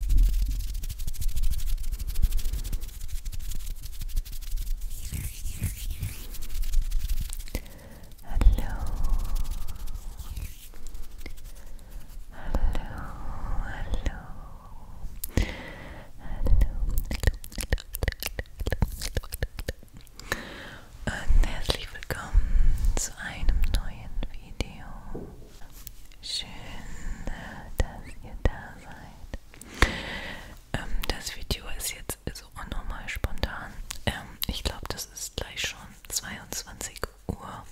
Hallo. Hallo, hallo. Hallo. Und herzlich willkommen zu einem neuen Video. Schön, äh, dass ihr da seid. Ähm, das Video ist jetzt so unnormal spontan. Ähm, ich glaube, das ist gleich schon 22 Uhr.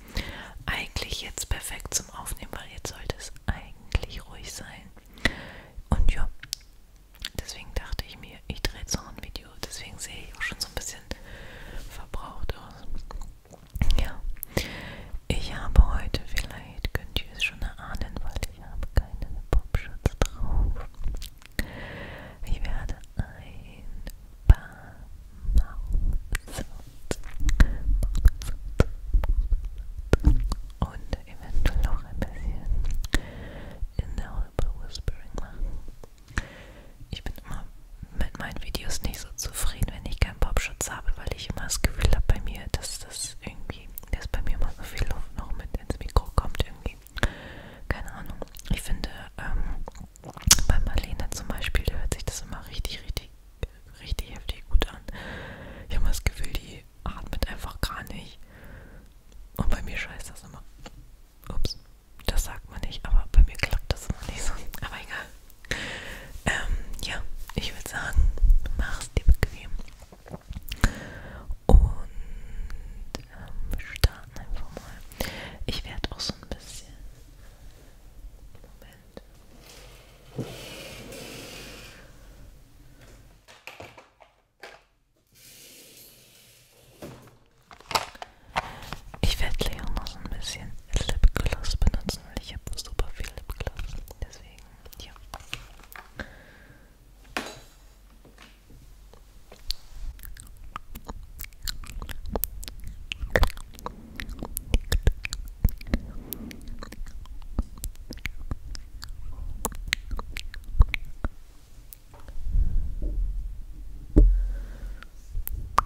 Eigentlich jetzt perfekt zum Aufnehmen, weil jetzt sollte es eigentlich ruhig sein. Und ja, deswegen dachte ich mir, ich drehe so ein Video. Deswegen sehe ich auch schon so ein bisschen verbraucht aus. Ja, ich habe heute, vielleicht könnt ihr es schon erahnen, weil ich habe keinen Popschutz drauf. Ich werde ein paar Mouth-Sounds und eventuell noch ein bisschen in der Holper Whispering machen. Ich bin immer mit meinen Videos nicht so zufrieden, wenn ich keinen Popschutz habe, weil ich immer das Gefühl habe bei mir, dass das irgendwie, dass bei mir immer so viel Luft noch mit ins Mikro kommt irgendwie. Keine Ahnung. Ich finde, ähm, bei Marlene zum Beispiel, da hört sich das immer richtig, richtig, richtig heftig gut an. Ich habe immer das Gefühl, die atmet einfach gar nicht. Und bei mir scheißt das immer. Ups, das sagt man nicht, aber bei mir klappt das immer nicht so. Aber egal. Ähm, ja, ich würde sagen, mach's dir bequem. Und ähm, starten einfach mal. Ich werde auch so ein bisschen. Moment. Ich werde Leo noch so ein bisschen Lipgloss benutzen, weil ich habe super viel Lipgloss. Deswegen, ja.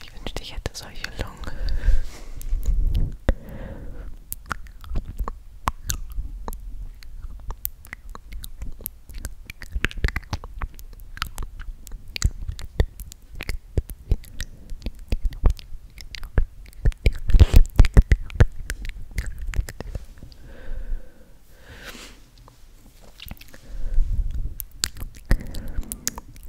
Ich wünschte, ich hätte solche Lungen.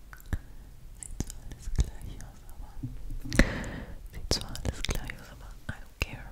Sieht zwar alles gleich aus, aber. Sieht zwar alles gleich I don't care.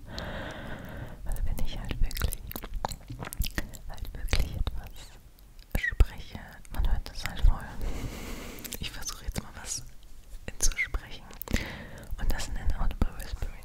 Also wenn ich halt wirklich, halt wirklich etwas spreche, man hört das halt voll. Ich versuche jetzt mal was zu sprechen und das in ein Audible Whispering.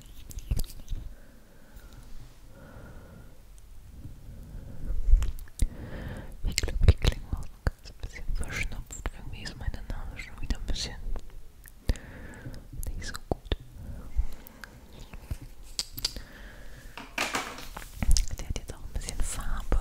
Ich glaube, ich klinge auch ein ganz bisschen verschnupft. Irgendwie ist meine Nase schon wieder ein bisschen nicht so gut. Der hat jetzt auch ein bisschen Farbe.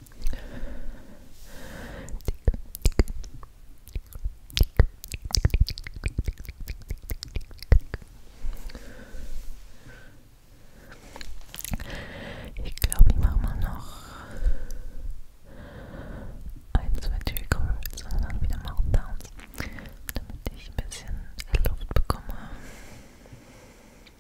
Ich glaube, ich mache mal noch ein, zwei Türen größer und dann wieder Mountdowns, damit ich ein bisschen Luft bekomme.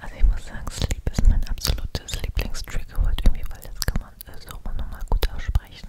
Also ich muss sagen, Sleep ist mein absolutes Lieblingstrigger heute irgendwie, weil das kann man so nochmal gut aussprechen.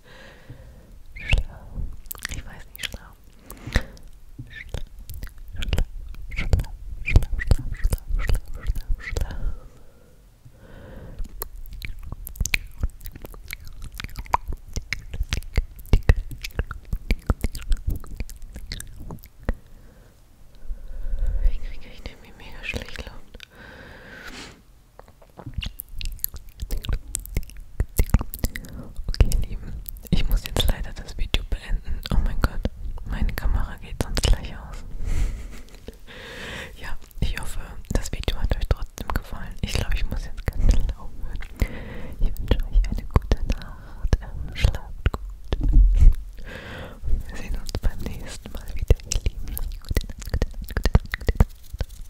Schlau. Ich weiß nicht, schlau. Schlau, schlau, schlau, schlau, schlau, schlau, schlau, schlau. Wie kriege ich den wie mega schlecht laut? Okay, ihr Lieben, ich muss jetzt leider das Video beenden. Oh mein Gott, meine Kamera geht sonst gleich aus. ja, ich hoffe, das Video hat euch trotzdem gefallen. Ich glaube, ich muss jetzt ganz schnell aufhören. Ich wünsche euch eine gute Nacht. Ähm, schlaft gut. Und wir sehen uns beim nächsten Mal wieder, ihr Lieben. Gute Nacht, gute Nacht, gute Nacht, gute Nacht.